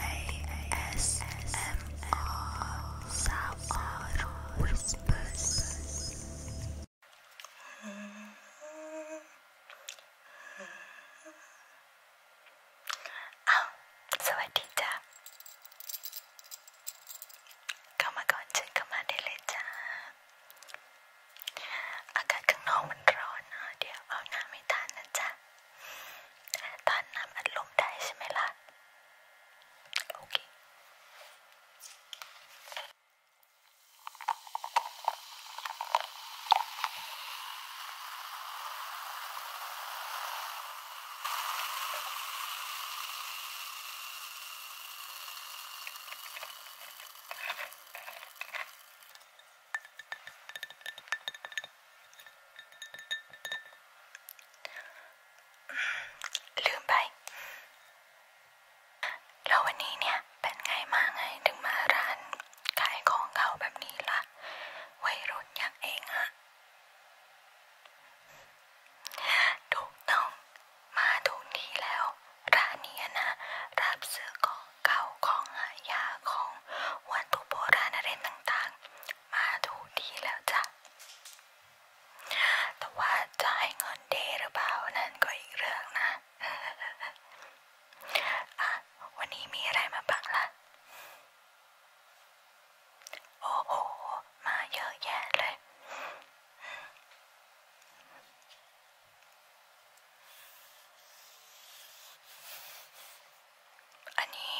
ASMR สาวออวิสเปอร์อ้าวสวัสดีจ้าเข้ามาก่อนเชิญเข้ามาได้เลยจ้าอากาศข้างนอกมันร้อนนะ เดี๋ยวเอาหน้าไม่ทันนะจ๊ะทานน้ำอัดลมได้ใช่ไหมล่ะ โอเคลืมไป แล้ววันนี้เนี่ย เป็นไงมาไงถึงมาร้านขายของเก่าแบบนี้ละ่ะวัยรุ่นอย่างเองอะ ถูกต้องมาถูกที่แล้วร้านนี้นะ รับซื้อของของเก่าของหายากของวัตถุโบราณอะไรต่างๆ มาถูกดีแล้วจ้ะ แต่ว่าจะให้เงินเดหรือเปล่า นั่นก็อีกเรื่องนะ อ่ะ วันนี้มีอะไรมาบ้างล่ะ โอ้โหมาเยอะแยะเลยอันนี้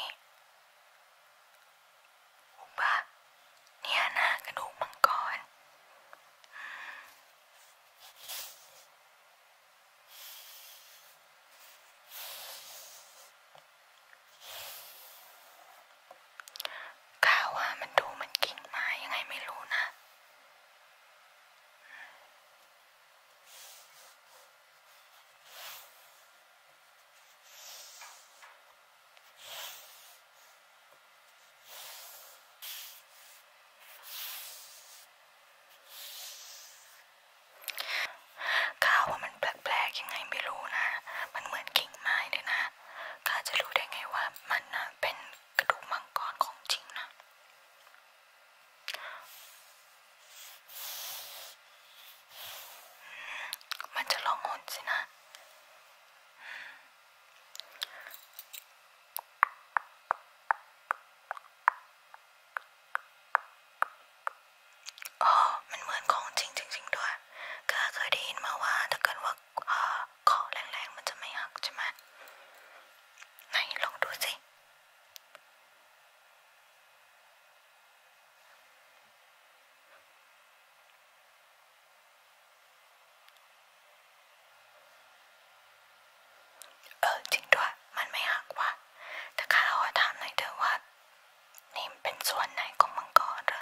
ถูกปะเนี่ยนะกระดูกมังกรก้าวว่ามันดูมันกิ่งไม้ยังไงไม่รู้นะข้าวว่ามันแปลกๆยังไงไม่รู้นะ มันเหมือนกิ่งไม้เลยนะข้าจะรู้ได้ไงว่ามันนะเป็นกระดูกมังกรของจริงนะมันจะลองหนสินะ อ๋อ มันเหมือนของจริงจริงๆด้วย ก็เคยได้ยินมาว่าถ้าเกิดว่าขอแรงๆ มันจะไม่หักใช่ไหมไหนลองดูสิเออ จริงด้วยมันไม่หักว่ะแต่ข้าเราถามหน่อยเถอะว่า นี่เป็นส่วนไหนของมังกรเหรอ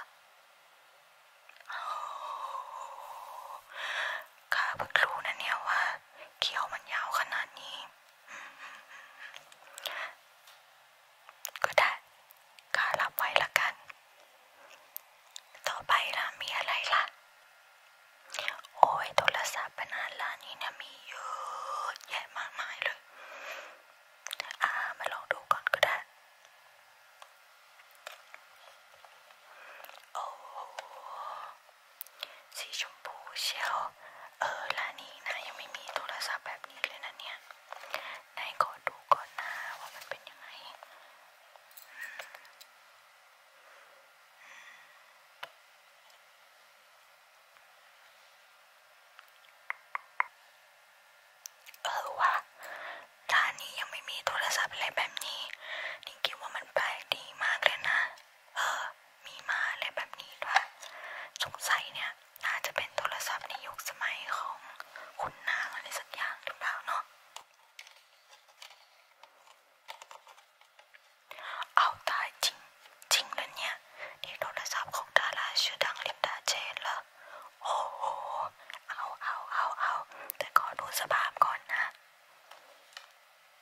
ข้าเพิ่งรู้นะเนี่ยว่า เขียวมันยาวขนาดนี้ก็ได้ ก็รับไว้ละกัน ต่อไปล่ะมีอะไรล่ะ โอ้ยโทรศัพท์ปัญหาร้านนี้เนี่ยมีเยอะแยะมากมายเลยอ่ามาลองดูก่อนก็ได้ โอ้สีชมพูเชียวเออร้านนี้นะยังไม่มีโทรศัพท์แบบนี้เลยนะเนี่ยนายขอดูก่อนนะว่ามันเป็นยังไงเออวะร้านนี้ยังไม่มีโทรศัพท์อะไรแบบนี้นิงคิดว่ามันแปลกดีมากเลยนะเออมีมาอะไรแบบนี้ด้วยสงสัยเนี่ยน่าจะเป็นโทรศัพท์ในยุคสมัยของคุณนางอะไรสักอย่างหรือเปล่าเนาะ เอาตายจริงจริงเลยเนี่ย นี่โทรศัพท์ของดาราชื่อดังลินดาเจนเหรอโอ้โห เอา เอา เอา เอา แต่ขอดูสภาพก่อนนะ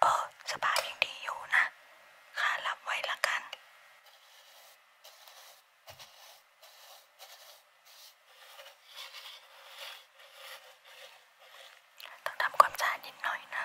เออสภาพยังดีอยู่นะ ข้ารับไว้ละกันต้องทำความสะอาดนิดหน่อยนะ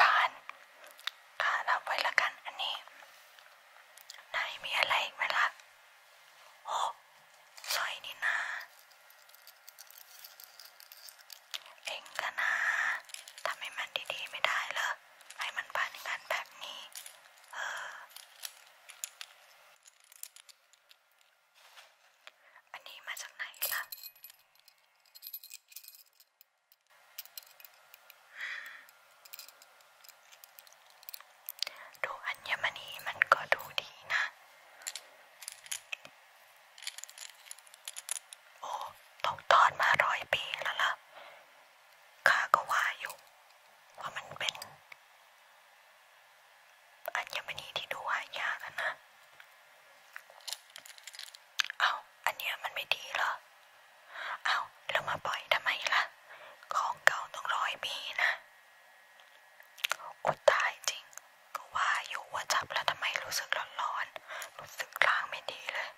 ผ่านค่ะรับไว้ละกันอันนี้นายมีอะไรไหมล่ะโอ้สอยนี่นาเองกันนาทำให้มันดีๆไม่ได้เหรอให้มันพันกันแบบนี้ เออ อันนี้มาจากไหนล่ะดูอัญมณีมันก็ดูดีนะ โอ้ ตกทอดมาร้อยปีแล้วล่ะข้าก็ว่าอยู่ว่ามันเป็น อัญมณีที่ดูหายากนะ เอาอันนี้มันไม่ดีหรอเอาแล้วมาปล่อยทำไมล่ะ ของเก่าต้งร้อยปีนะอดตายจริง ก็ว่าอยู่ว่าจับแล้วทำไมรู้สึกร้อนๆ รู้สึกร่างไม่ดีเลย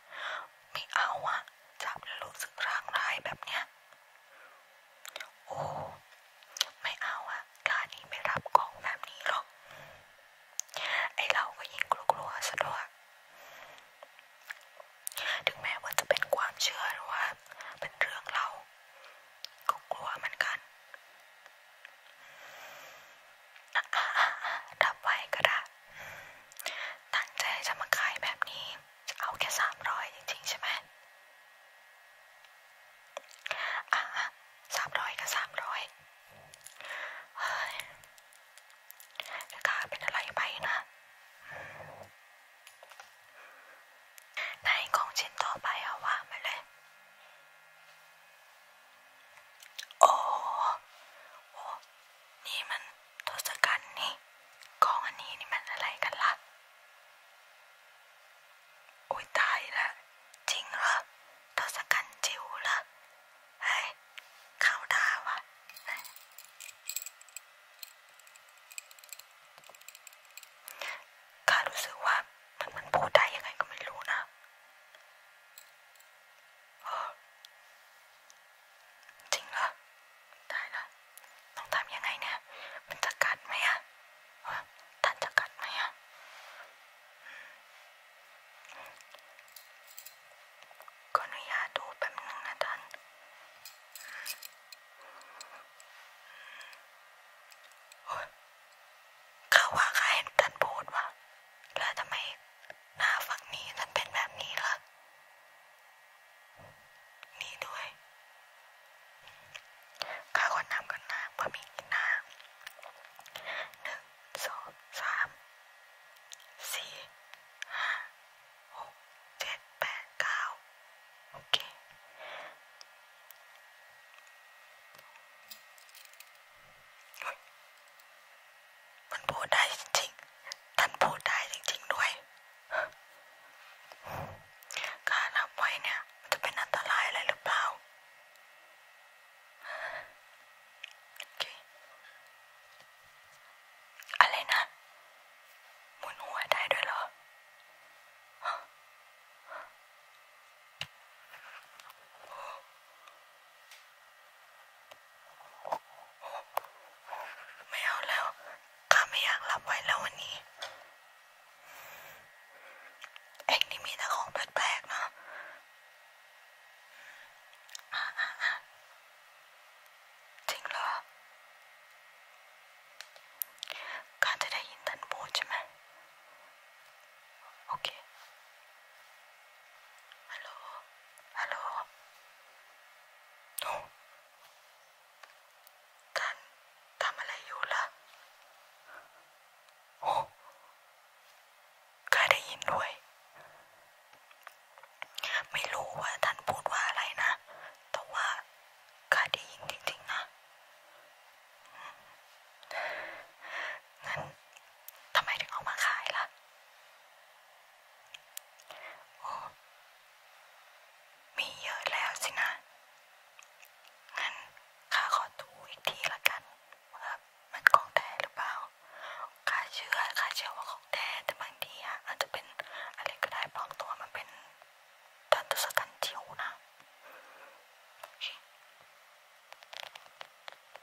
ไม่เอาอะจับแล้วรู้สึกร่างร้ายแบบเนี้ยโอ้ไม่เอาอะกานี้ไม่รับของแบบนี้หรอก ไอเราก็ยิ่งกลัวๆซะด้วยถึงแม้ว่าจะเป็นความเชื่อหรือว่า เป็นเรื่องเราก็กลัวเหมือนกันอ่ะๆๆดับไว้ก็ได้ตั้งใจจะมาขายแบบนี้จะเอาแค่สามร้อยจริงๆใช่ไหม อ่ะสามร้อยกับสามร้อยเฮ้ยราคาเป็นอะไรไปนะ ในของชิ้นต่อไปเอาวางไปเลย โอ้โหนี่มันทศกัณฐ์นี่ของอันนี้นี่มันอะไรกันล่ะโอ้ย ตายละจริงเหรอทศกัณฐ์จิ๋วเหรอเฮ้ยเข้าดาวะข้ารู้สึกว่ามันมันพูดได้ยังไงก็ไม่รู้นะเออจริงเหรอ ได้ละต้องทำยังไงเนี่ย มันจะกัดไหมอะท่านจะกัดไหมอะขออนุญาตดูแป๊บนึงนะท่านเขาว่าใครท่านพูดว่า แล้วทำไมหน้าฝั่งนี้จะเป็นแบบนี้ละนี่ด้วยข้าขอน้ำกันนะเพื่อมีกินน้ำหนึ่งสองสามสี่ห้าหกเจ็ดแปดเก้าโอเคมันพูดได้จริงๆ ท่านพูดได้จริงๆด้วย การรับไว้เนี่ยมันจะเป็นอันตรายอะไรหรือเปล่าอะไรนะหมุนหัวได้ด้วยเหรอไม่เอาแล้ว ข้าไม่อยากรับไว้แล้ววันนี้ เอ็งนี่มีแต่ของแปลกๆเนาะ จริงเหรอข้าจะได้ยินท่านพูดใช่ไหม โอเคฮัลโหล ฮัลโหลหนูท่านทำอะไรอยู่ล่ะ โอ้ข้าได้ยินด้วย ไม่รู้ว่าท่านพูดว่าอะไรนะ แต่ว่าข้าได้ยินจริงๆนะงั้นทำไมถึงเอามาขายล่ะโอ้มีเยอะแล้วสินะ งั้นข้าขอดูอีกทีละกันว่ามันของแท้หรือเปล่าข้าเชื่อข้าเชื่อว่าของแท้แต่บางทีอะอาจจะเป็นอะไรก็ได้ปลอมตัว มันเป็นทัตสตันจิวนะ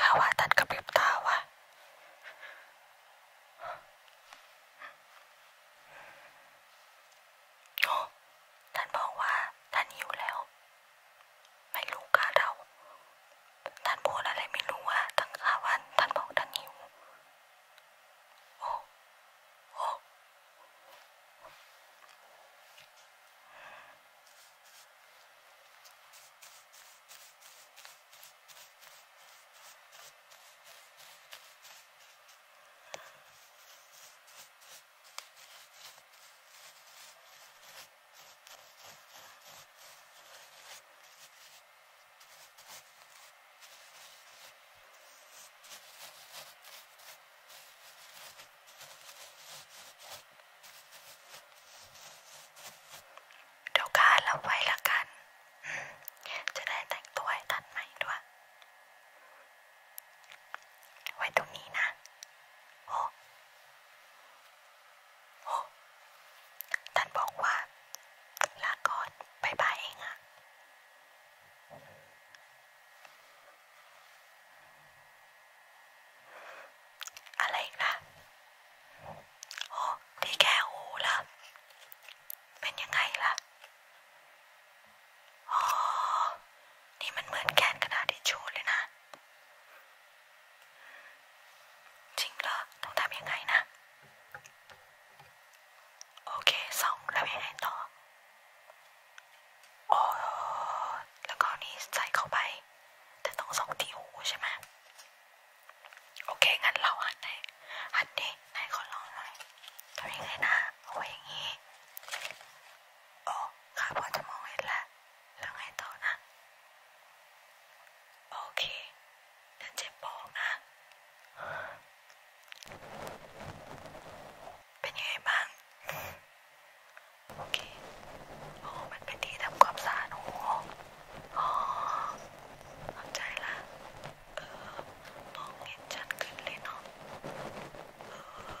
ข้าว่าตัดกระพริบตาว่ะท่านบอกว่าท่านหิวแล้วไม่รู้กาเราท่านพูดอะไรไม่รู้อะตั้งห้าวันท่านบอกท่านหิวโอ้ โอ้เดี๋ยวการรับไว้ละกัน จะได้แต่งตัวให้ทันใหม่ด้วยไว้ตรงนี้นะโอ้โอ้ท่านบอกว่าลาก่อนบายบายเองอะอะไรอีกล่ะโอ้ที่แกหูล่ะเป็นยังไงล่ะอ๋อนี่มันเหมือนแกนกระดาษทิชชู่เลยนะจริงเหรอต้องทำยังไงนะ โอเคสองแล้วยังไงต่ออ๋อแล้วก็นี่ใส่เข้าไปแต่ต้องสองที่หูใช่ไหมโอเค งั้นเราหันไหนหันดิไหนขอลองหน่อยทำยังไงนะเอาไว้อย่างนี้อ๋อค่ะพอจะมองเห็นแล้วแล้วไงต่อนะ โอเคเดี๋ยวเจ็บบอกนะเป็นยังไงบ้างโอเค โอ้ มันเป็นที่ทำความสะอาดหัวอ๋อเข้าใจละเออมองเห็นชัดขึ้นเลยเนาะเออ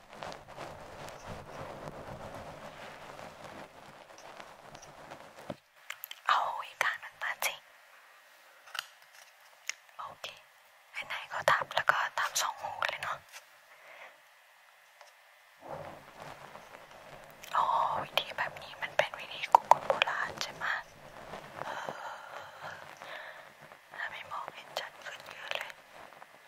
เอาอีกการหนึ่งมาสิโอเคไหนๆก็ทับแล้วก็ทับสองหูเลยเนาะโอ้วิธีแบบนี้มันเป็นวิธีของคนโบราณใช่ไหมเออถ้าไม่มองเห็นชัดขึ้นเยอะเลย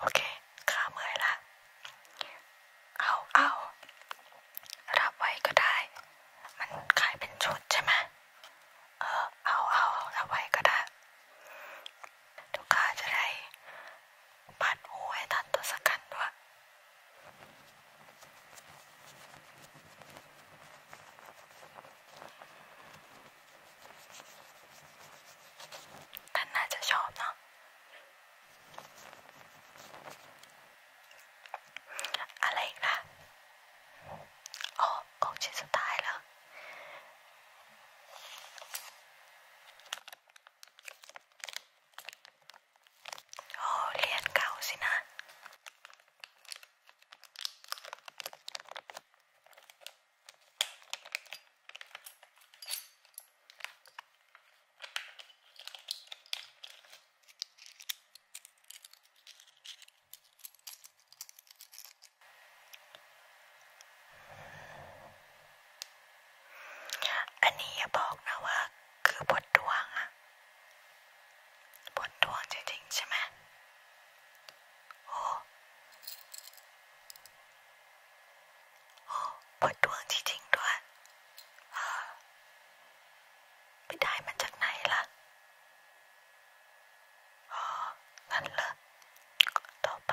โอเค ข้าเมื่อยละ เอาเอา รับไว้ก็ได้ มันขายเป็นชุดใช่ไหม เออเอาเอารับไว้ก็ได้ ทุกข้าจะได้ ปัดหูให้ทันตัวสักกันด้วยท่านน่าจะชอบเนาะอะไรอีกล่ะอ๋อของชิ้นสุดท้ายแล้วโอ้ เรียนเก่าสินะอันนี้อย่าบอกนะว่าคือบทดวงอะบทดวงจริงๆใช่ไหมโอ้โอ้เปิดดวงจริงๆด้วยไปได้มาจากไหนล่ะอ๋อนั่นเหรอต่อไป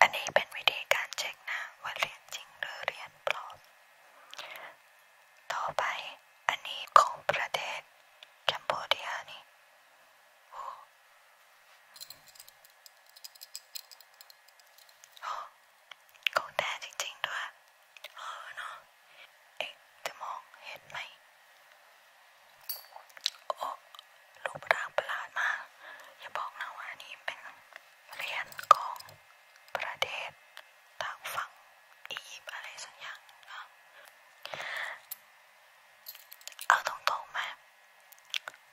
อันนี้เป็นวิธีการเช็คนะว่าเรียนจริงหรือเรียนปลอมต่อไปอันนี้ของประเทศแคนโบเดียนี่ของแท้จริง ๆด้วยเออเนาะเอ๊ะจะมองเห็นไหมโอ้รูปร่างประหลาดมากอย่าบอกนะว่านี่เป็นเหรียญของประเทศทางฝั่งอียิปต์อะไรสักอย่างนะเอาตรงๆไหม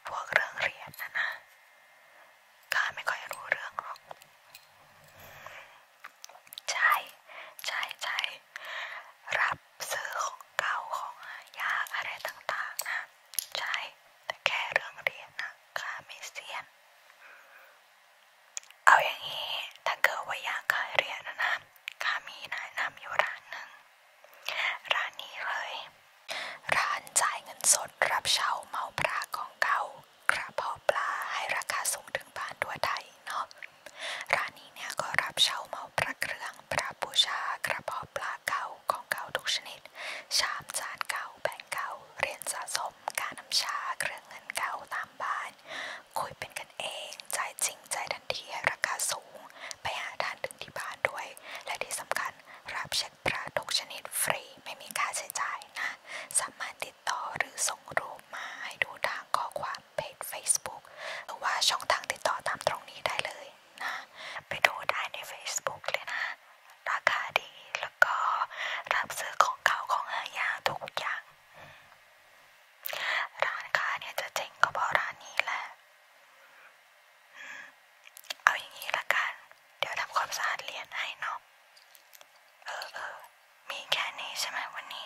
พวกเรื่องเหรียญนะนะ กาไม่ค่อยรู้เรื่องหรอกใช่ใช่ใช่รับซื้อของเก่าของยากอะไรต่างๆนะใช่แต่แค่เรื่องเรียนนะข้าไม่เสียนเอาอย่างนี้ ถ้าเกิดว่าอยากขายเรียนนะนะข้ามีแนะนำอยู่ร้านหนึ่ง ร้านนี้เลย ร้านจ่ายเงินสดรับช่าเมาปลาของเกากระเพาะปลาให้ราคาสูงถึงบานทัวไทเนาะร้านนี้เนี่ยก็รับช่าเมาปลาเครื่องสระบูชากระเพาปลาเก่าของเก่าทุกชนิด ชามจานเก่าแบงเก่า เรียนสะสมการนำชาเครื่องเงินเก่าตามบ้าน คุยเป็นกันเองใจจริงใจทันทีราคาสูง ไปหาทานถึงที่บ้านด้วย และที่สำคัญรับเช็คพระทุกชนิดฟรีไม่มีค่าใช้จ่ายนะสามารถติดต่อหรือส่งรูปมาให้ดูทางข้อความเพจ f a c e b o o หรือว่าช่องทางติดต่อตามตรงนี้ได้เลยนะไปดูได้ใน Facebook เลยนะ ราคาดีแล้วก็รับซื้อของเก่าของหายาทุกอย่างร้านค้าเนี่ยจะเจ๋งก็เพราะร้านนี้แหละเอาอย่างนี้ละกัน เดี๋ยวทำความสะอาดเหรียญให้เนาะเออเออมีแค่นี้ใช่ไหมวันนี้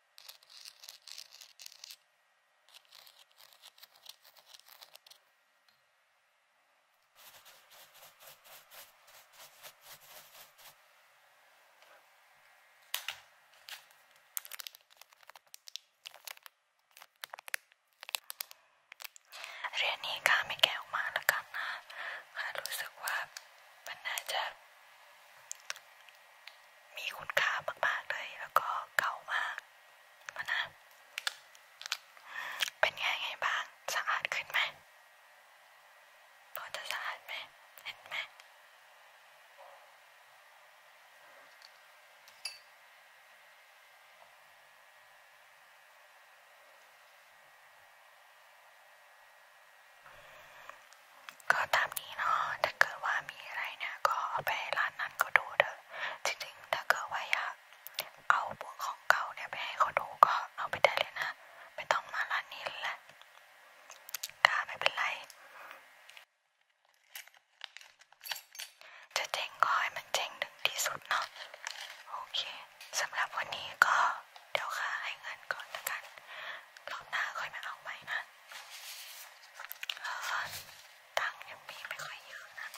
เรียนนี้ข้าไม่แกะออกมาแล้วกันนะข้ารู้สึกว่ามันน่าจะมีคุณค่ามากๆเลยแล้วก็เก่ามากมานะเป็นไงไงบ้าง สะอาดขึ้นไหมพอจะสะอาดไหมเห็นไหมก็ตามนี้เนาะถ้าเกิดว่ามีอะไรเนี่ยก็ไปร้านนั้นก็ดูเถอจริงๆถ้าเกิดว่าอยากเอาพวกของเกาเนี่ยไปให้เขาดูก็เอาไปได้เลยนะไม่ต้องมาร้านนี้แหละค่ะไม่เป็นไรจะเจ๊งก็ให้มันเจ๊งถึงที่สุดเนาะโอเคสำหรับวันนี้ก็เดี๋ยวค่ะให้เงินก่อนละกันรอบหน้าค่อยมาเอาใหม่นะเพราะว่าตังค์ยังมีไม่ค่อยเยอะนะ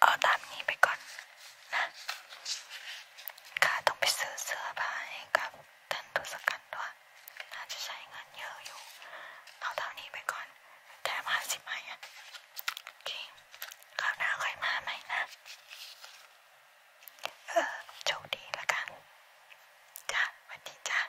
เอาตามนี้ไปก่อนนะข้าต้องไปซื้อเสื้อผ้าให้กับท่านตุสกันด้วยน่าจะใช้เงินเยอะอยู่ เอาเท่านี้ไปก่อนแถมห้าสิบไม้อะโอเคคราวหน้าค่อยมาใหม่นะ เออ โชคดีละกัน จ้าวันดีจ้า